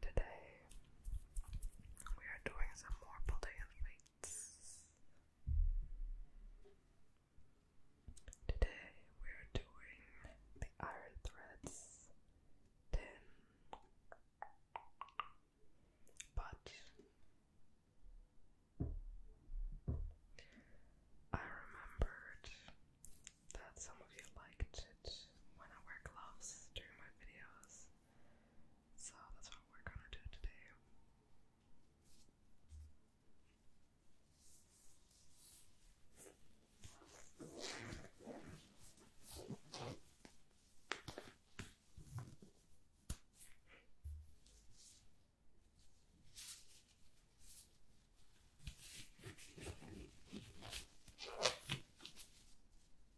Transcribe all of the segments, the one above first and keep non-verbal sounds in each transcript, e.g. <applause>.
Today we are doing some more Baldeian Fates. Today we are doing the Iron Threads But I remembered that some of you liked it when I wear gloves during my videos. So that's what we're gonna do today.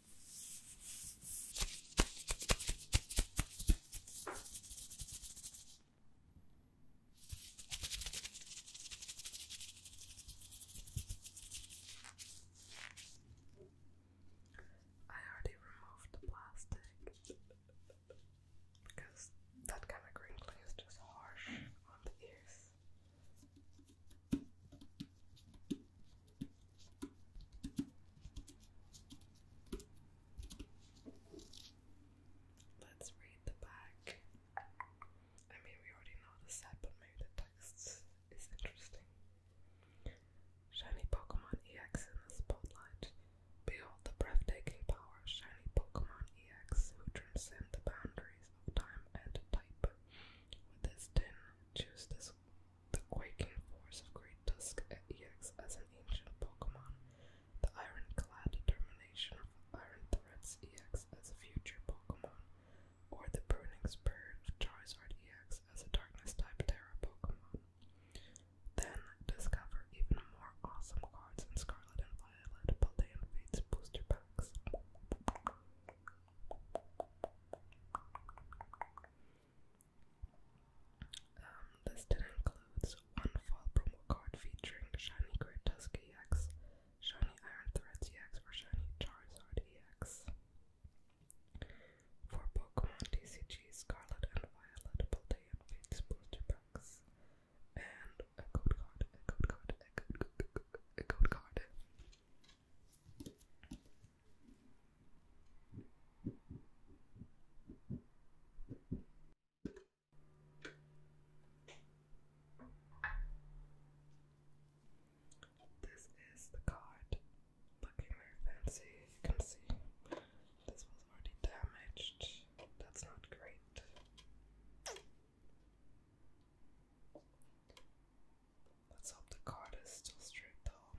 I already removed the plastic because that kind of crinkling is just harsh on the ears. Let's read the back. I mean, we already know the set, but maybe the text is interesting. Shiny Pokemon EX in the spotlight. Behold the breathtaking power of Shiny Pokemon EX, who transcend the boundaries of time and type. With this tin, choose this the quaking force of Great Dusk EX as an ancient Pokemon. The ironclad determination of Iron Threats EX as a future Pokemon. Or the pruning spirit of Charizard EX as a darkness type Terra Pokemon. Then discover even more awesome cards in Scarlet and Violet Paldean Fates booster packs. Um, this tin includes one fall promo card featuring Shiny Great Tusk EX, Shiny Iron Threads EX, or Shiny Charizard EX. For Pokemon TCG, Scarlet and Violet, Paldean Fates booster packs, and a code card. This is the card. Looking very fancy, you can see this was already damaged. That's not great. Let's hope the card is still straight though.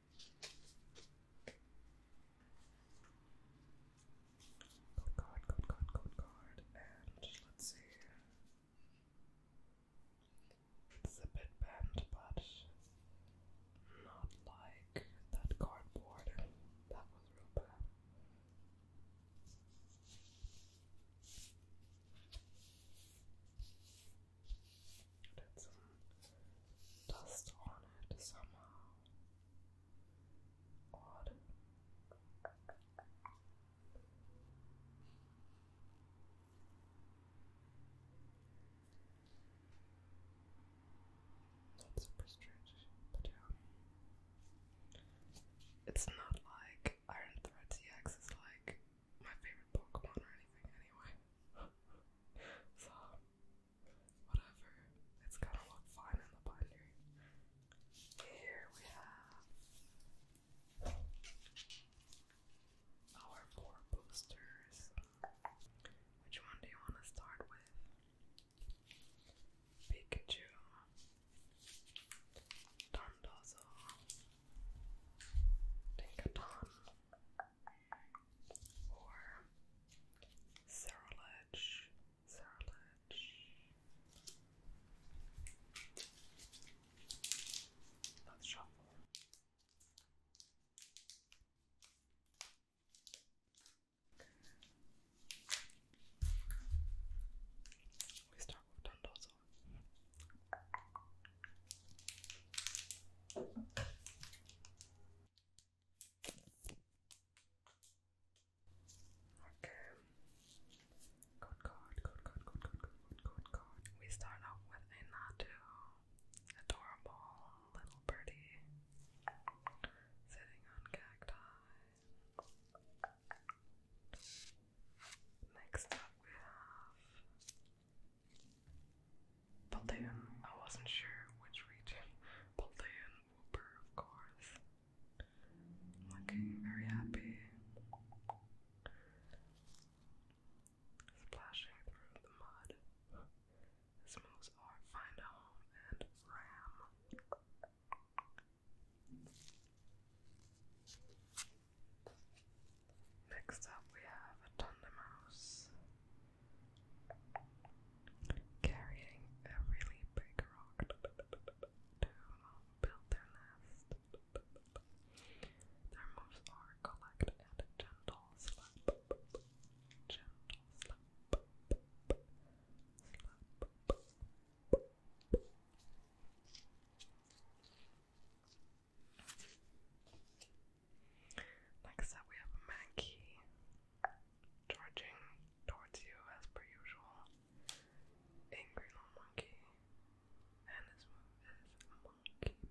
Code card, code card, card, and let's see. It's a bit bent, but not like that cardboard. That was real bad. It had dust on it somehow. Not super strange, but yeah. It's not like Iron Thread CX is like my favorite Pokemon or anything anyway. <laughs> so whatever. It's gonna look fine in the binder. Here we have our four boosters. Which one do you want to start with? Pikachu, Dondozo, Dinkadon, or cerulege, cerulege. Let's shuffle. We start with Dundozo. Okay. Good God, good God, good God, good good We start off with a adorable little birdie sitting on cacti. Next up we have Balloon. I wasn't sure which region. Balloon Whooper, of course. Looking very happy. Splashing through the mud. This moves our find home and ram. Next up we have a Thunder Mouse carrying a really big rock to <laughs> build their nest. Their moves are collect and gentle Gentle slap. Like I we have a Mankey charging towards you as per usual. Angry little monkey. And his move is monkey beat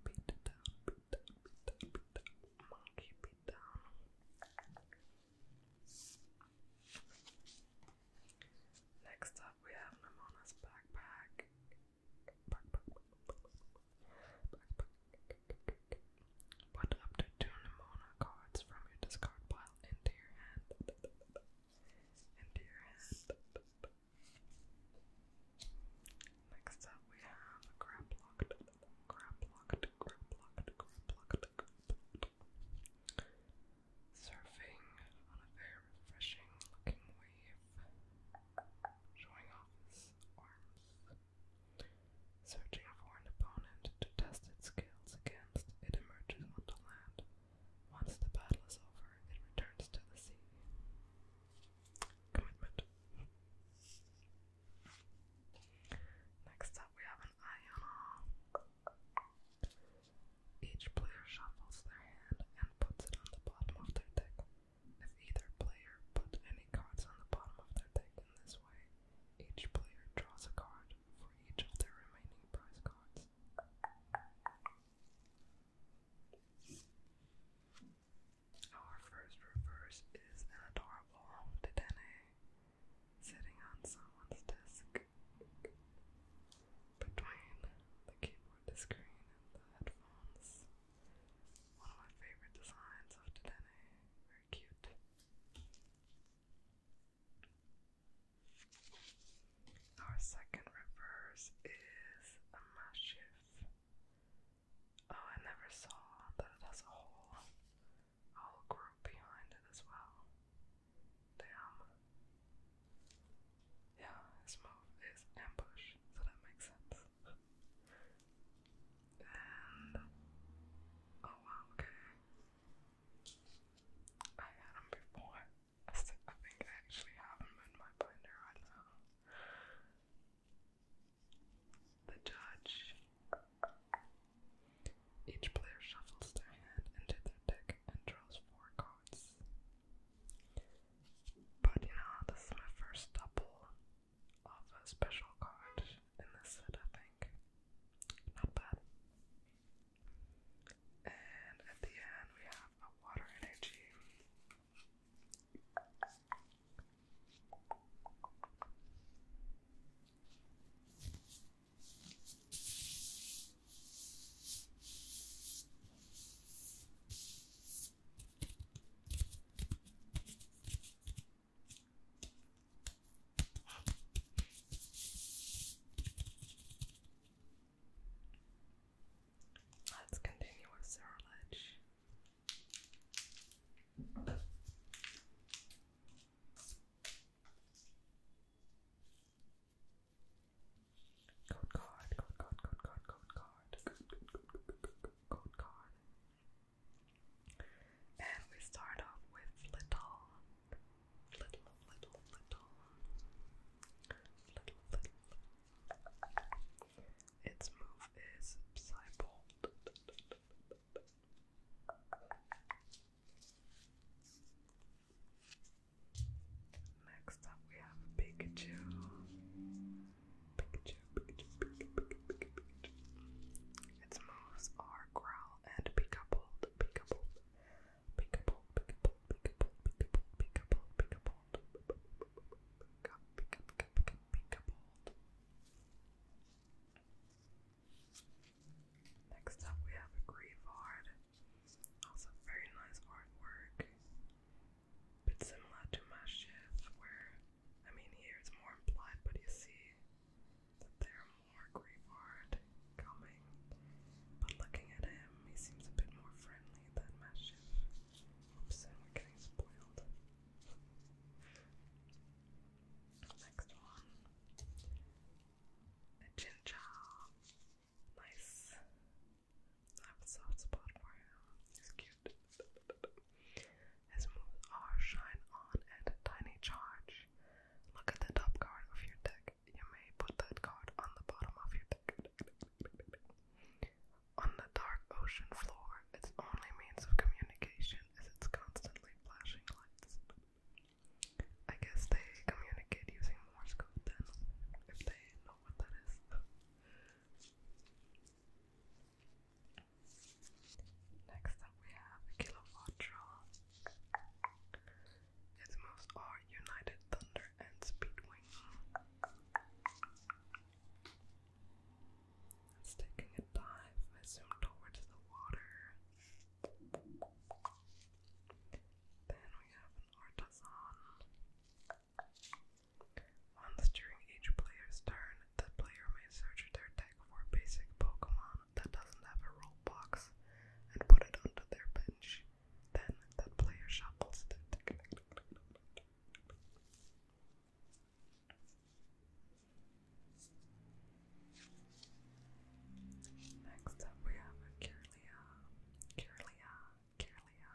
down, beat down, beat down, beat down, monkey beat down. Next up, we have Namona's backpack. Put up to two Nimona cards from your discard pile into your hand. Into your hand. Next up, we have a grab locked, grab locked, grab locked, grab locked, grab Surfing on a very refreshing looking wave showing off his arms. Searching for an opponent to test its skills against, it emerges onto land. Once the battle is over, it returns to the sea. Commitment. Next up, we have an Iona. Each player shuffles their hand and puts it on the bottom of their deck. If either player put any cards on the bottom of their deck in this way, each player draws a card for each of their remaining prize cards. Our first reverse is adorable Dedenne sitting on someone's desk between the keyboard, the screen, and the headphones. One of my favorite designs of Dedenne. Very cute. Our second reverse is a Mastiff. Oh, I never saw that it has a whole, whole group behind it as well. Damn. Yeah, his move is ambush, so that makes sense oh wow, okay. I had them before. I think I actually have them in my binder right now. The judge. Each player shuffles their hand into their deck and draws four cards. But you know, this is my first double of a special card in this set, I think. Not bad. And at the end, we have a water energy. Let's continue with Surledge. Code card, code card, code card, code card, code card. And we start off with little, little, little, little, little, little. Its move is Psybolt. Next up, we have Pikachu. Pikachu, Pikachu, Its moves are growl and peekabold, peekabold, peekabold, peekabold, peekabold, peekabold, peekabold, peekabold, peekabold. Next up, we have a Grievard. Also, very nice artwork bit similar to Mashif, where I mean here it's more implied, but you see that there are more Grievard coming. But looking at him, he seems a bit more friendly than Mashif. Oops, and we're getting spoiled. Next one. A Jinja. Nice I have a soft spot for him. He's cute. His moves are Shine On and Tiny Charge. Look at the top card of your deck. You may put that card on the bottom of your deck. On the dark ocean floor, its only means of communication is its constantly flashing lights. I guess they communicate using Morse code then, if they know what that is. Next up we have Kilowatt Troll. Its moves are United Thunder and Speedwing. taking a dive, I assume towards the water. Then we have an Artisan. On the during each player's turn, the player may search their deck for a basic Pokemon that doesn't have a roll box and put it onto their bench. Then that player shuffles the deck. Next up we have Kirlia, Kirlia, Kirlia.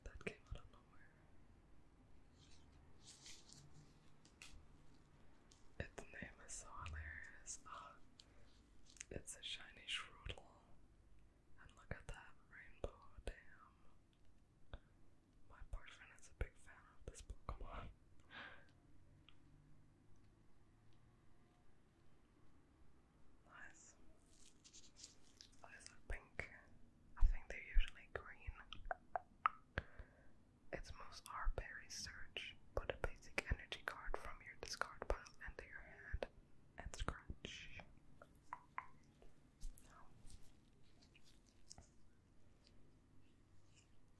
That came out of nowhere. Its name is so hilarious. Ah, it's a shiny shrewdle. And look at that rainbow, damn. My boyfriend is a big fan of this Pokemon. <laughs> nice. Eyes are pink. I think they're usually green. It's most are berry search. Put a basic energy card from your discard pile into your hand and scratch.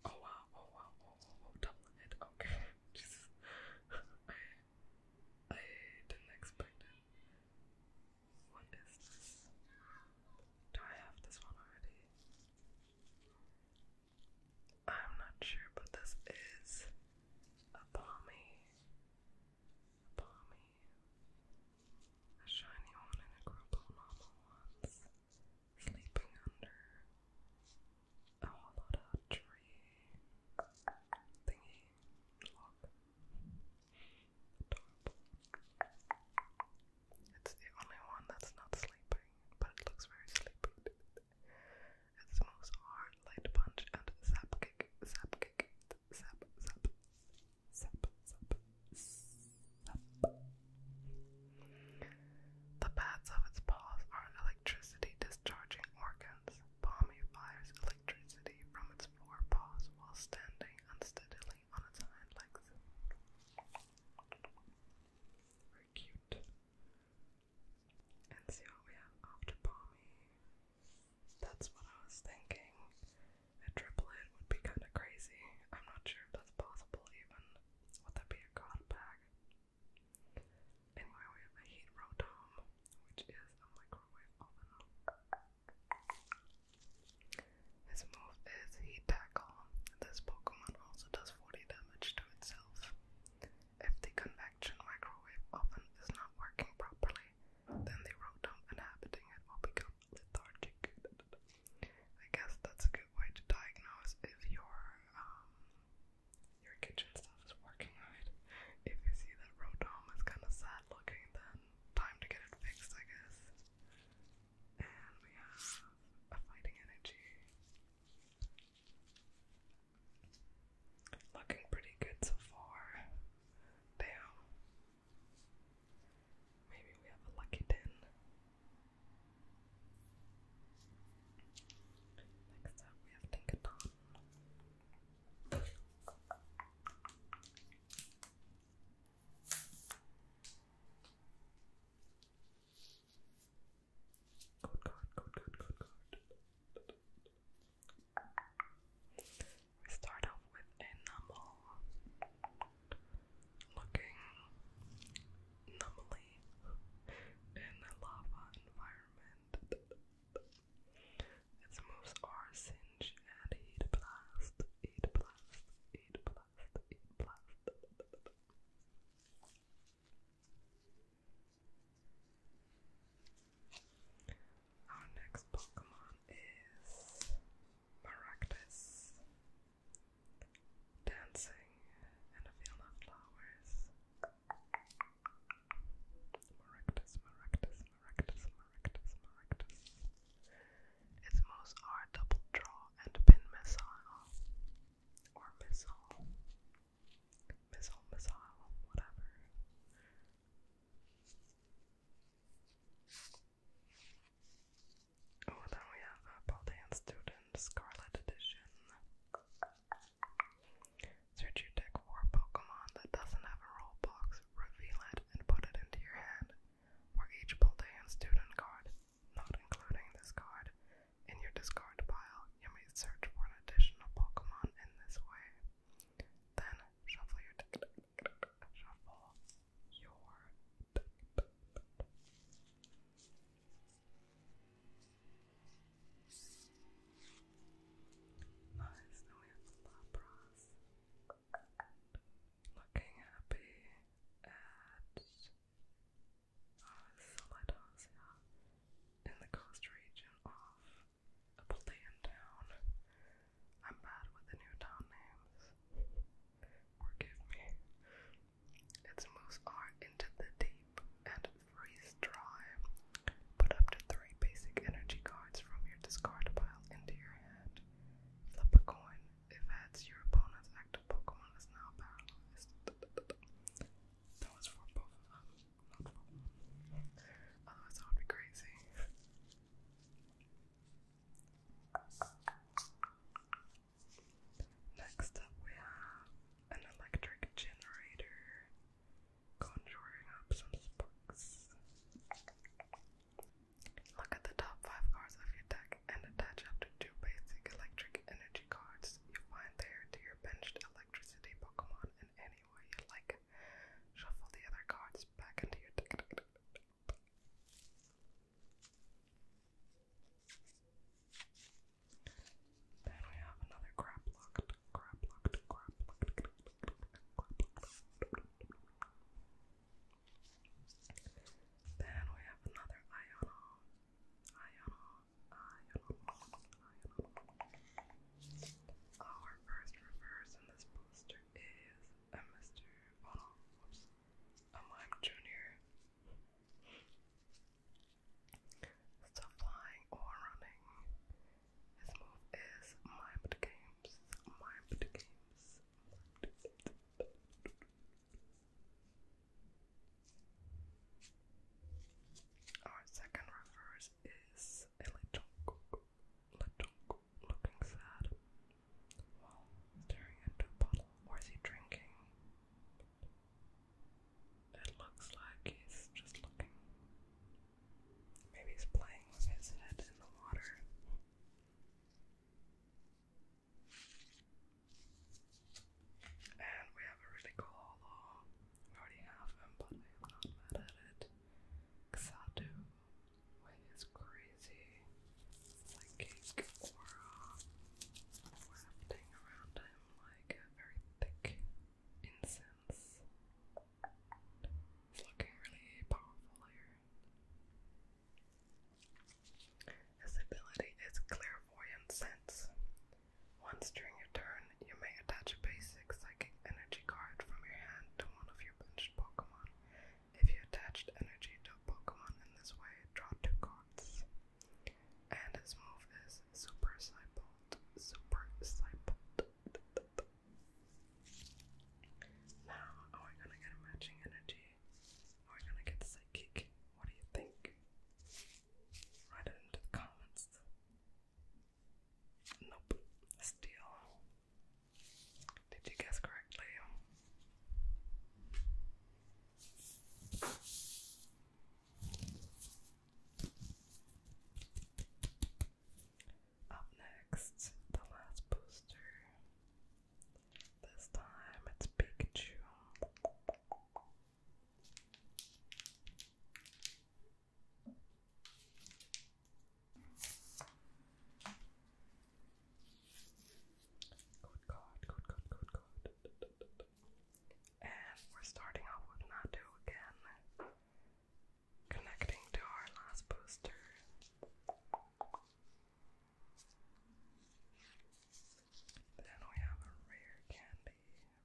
Oh wow, oh wow, oh, oh, oh, oh double hit, okay. <laughs> Jesus. I, I didn't what is this? Do I have this one already? I'm not sure, but this is a balmy. balmy. A shiny one and a group of normal Sleeping under a whole lot tree thingy. Adorable. It's the only one that's not sleeping, but it looks very sleepy. It smells hard, light punch, and zap kick, zap kick, zap, zap, zap, zap, zap. The pads of its paws are electricity discharging organs. Palmy fires electricity from its forepaws while standing unsteadily lovely on its hind Very cute. And see what we have after Palmy. That's what I was thinking. A triplet would be kind of crazy. I'm not sure if that's possible even. Would that be a god bag? Anyway, we have a heat rotom, which is a microwave oven. His move is Heat Tackle. This Pokemon also does 40 damage to itself. If the convection microwave oven is not working properly, then the rotom inhabiting it will become lethargic. I guess that's a good way to diagnose if your um your kitchen stuff is working right. If you see that rotom is kinda sad looking, then time to get it fixed I guess. And we have a fighting energy. Looking pretty good so far. Damn. Maybe we have a lucky ten. Next up, we have Tinkaton. Good card, We start off with a normal looking anomaly in a lava environment. Its moves are Singe and Heat Blast eight plus, eight plus, eight plus. Our next Pokemon is Maractus. Dancing in a field of flowers. Maractus, Maractus, Maractus, Maractus, Maractus. Its moves are double draw and pin missile. Or missile. Missile, missile, whatever. Oh, then we have a Baldan Student Scarlet Edition. Search your deck for a Pokemon that doesn't have a roll box, reveal it, and put it into your hand. For each pulled student card, not including this card. In your discard pile, you may search for an additional Pokemon in this way. Then shuffle your deck. Shuffle your deck looking happy at uh, in the coast region of Appalachian Town. I'm bad with the new town names. Forgive me. Its moves are into the deep and freeze dry. Put up to three basic energy cards from your discard pile into your hand. Flip a coin. your opponent's active Pokemon is now paralyzed. That was for both of them, not for oh, be crazy. Next up, we have an electric generator conjuring up some sparks. Look at the top five cards of your deck and attach up to two basic electric energy cards you find there to your benched electricity Pokemon in any way you like. Shuffle the other cards back into your deck. Then we have another crap locked, then we have another Iono. Iono. Iono. Iono. Our first reverse in this booster is a Mr. Bottle. A Mime Junior. So flying or running. His move is Mime Games. Mime Games. Our second reverse is a little, little looking sad while staring into a bottle. is he drinking? It looks like he's just looking. Maybe he's playing with his head in the water. And we have a really cool holo. We already have him, but we have not met at it. Xatu with his crazy psychic aura wafting around him like a very thick incense looking really powerful here. This ability is clairvoyant sense. Once during your turn, you may attach a basic psychic energy card from your hand to one of your benched Pokemon. If you attached energy to a Pokemon in this way, draw two cards. And his move is Super Psychic. Super Cybolt. Now, are we gonna get matching energy? Are we gonna get psychic? What do you think? Write it into the comments. Nope. Steel. Did you guess correctly? Up next, the last booster. This time it's Pikachu. Good God, good God, good God. And we're starting off with Natu again. Connecting to our last poster. Then we have a rare candy,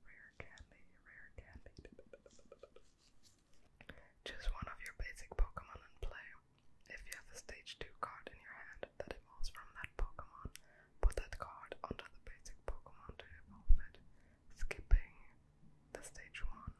rare candy, rare candy. Choose one of your basic Pokemon and play. If you have a stage 2 card in your hand that evolves from that Pokemon, put that card onto the basic Pokemon to evolve it, skipping the stage 1.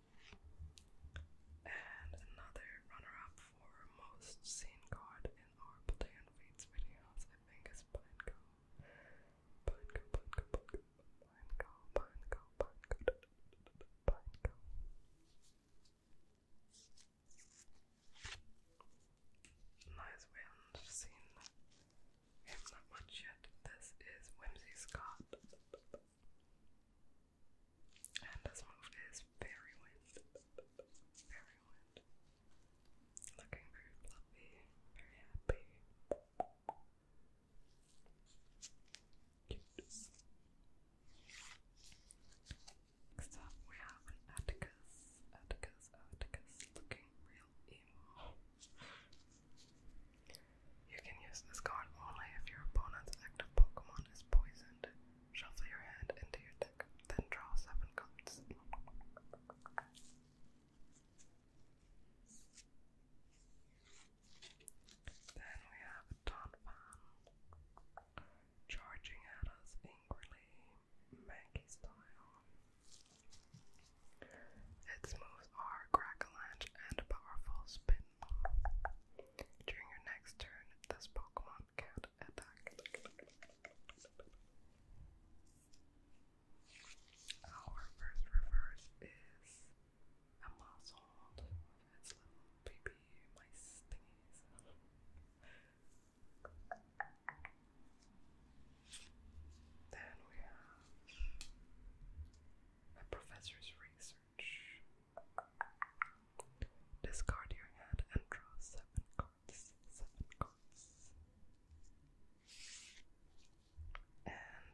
and another runner-up for most seen card in our Play and videos, I think, is Pineco. Pineco, Pineco, Pineco, Pineco, Pineco, Pineco, Nice, we haven't seen him that much yet. This is Whimsy Scott. And this move is very wind. Very wind. Looking very fluffy, very happy. Next up we have Atticus. Atticus, Atticus, looking real emo. You can use this card only if your opponent's active Pokemon is poisoned. Shuffle your hand into your deck, then draw seven cards. Then we have Tonfan charging at us angrily, Mankey style. Its move both are Crackalange and Powerful Spin. During your next turn, this Pokemon can attack. Our first reverse is a muzzled baby mice thingies. Then we have a professor's research. Discard your hand and draw seven cards. Seven cards. And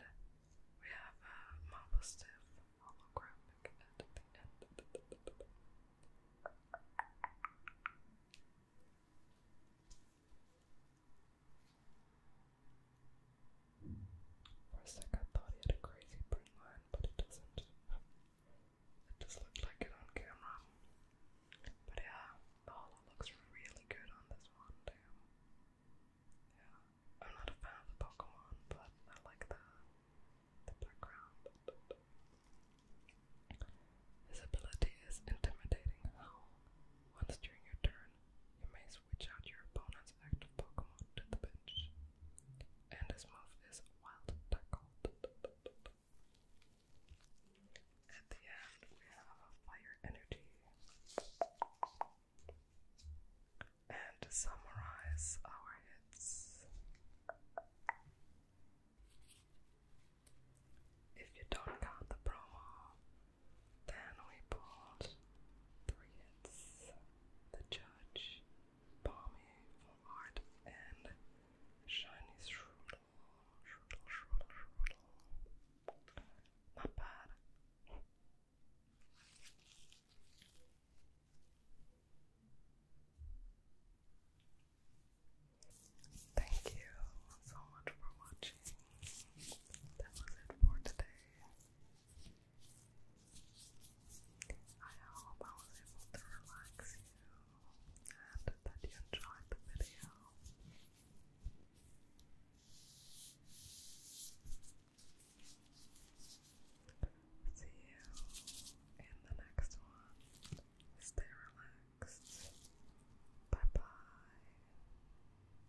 we have a Mamba Stiff holographic for a sec I thought he had a crazy print line, but it doesn't. It just looked like it on camera. But yeah, the looks really good on this one, damn. Yeah, I'm not a fan of Pokemon, but I like the, the background. His ability is intimidating once during your turn, you may switch out your opponent's active Pokemon to the bench. And his move is Wild Tackle. At the end, we have Fire Energy. And to summarize our hits, if you don't count the promo, then we pulled three hits. The judge, Balmy for art, and shiny shrudel. Shrudel, shrudel, shrudel. Not bad. Thank you so much for watching. That was it for today. I hope I was able to relax you and that you enjoyed the video. See you in the next one. Stay relaxed. Bye bye.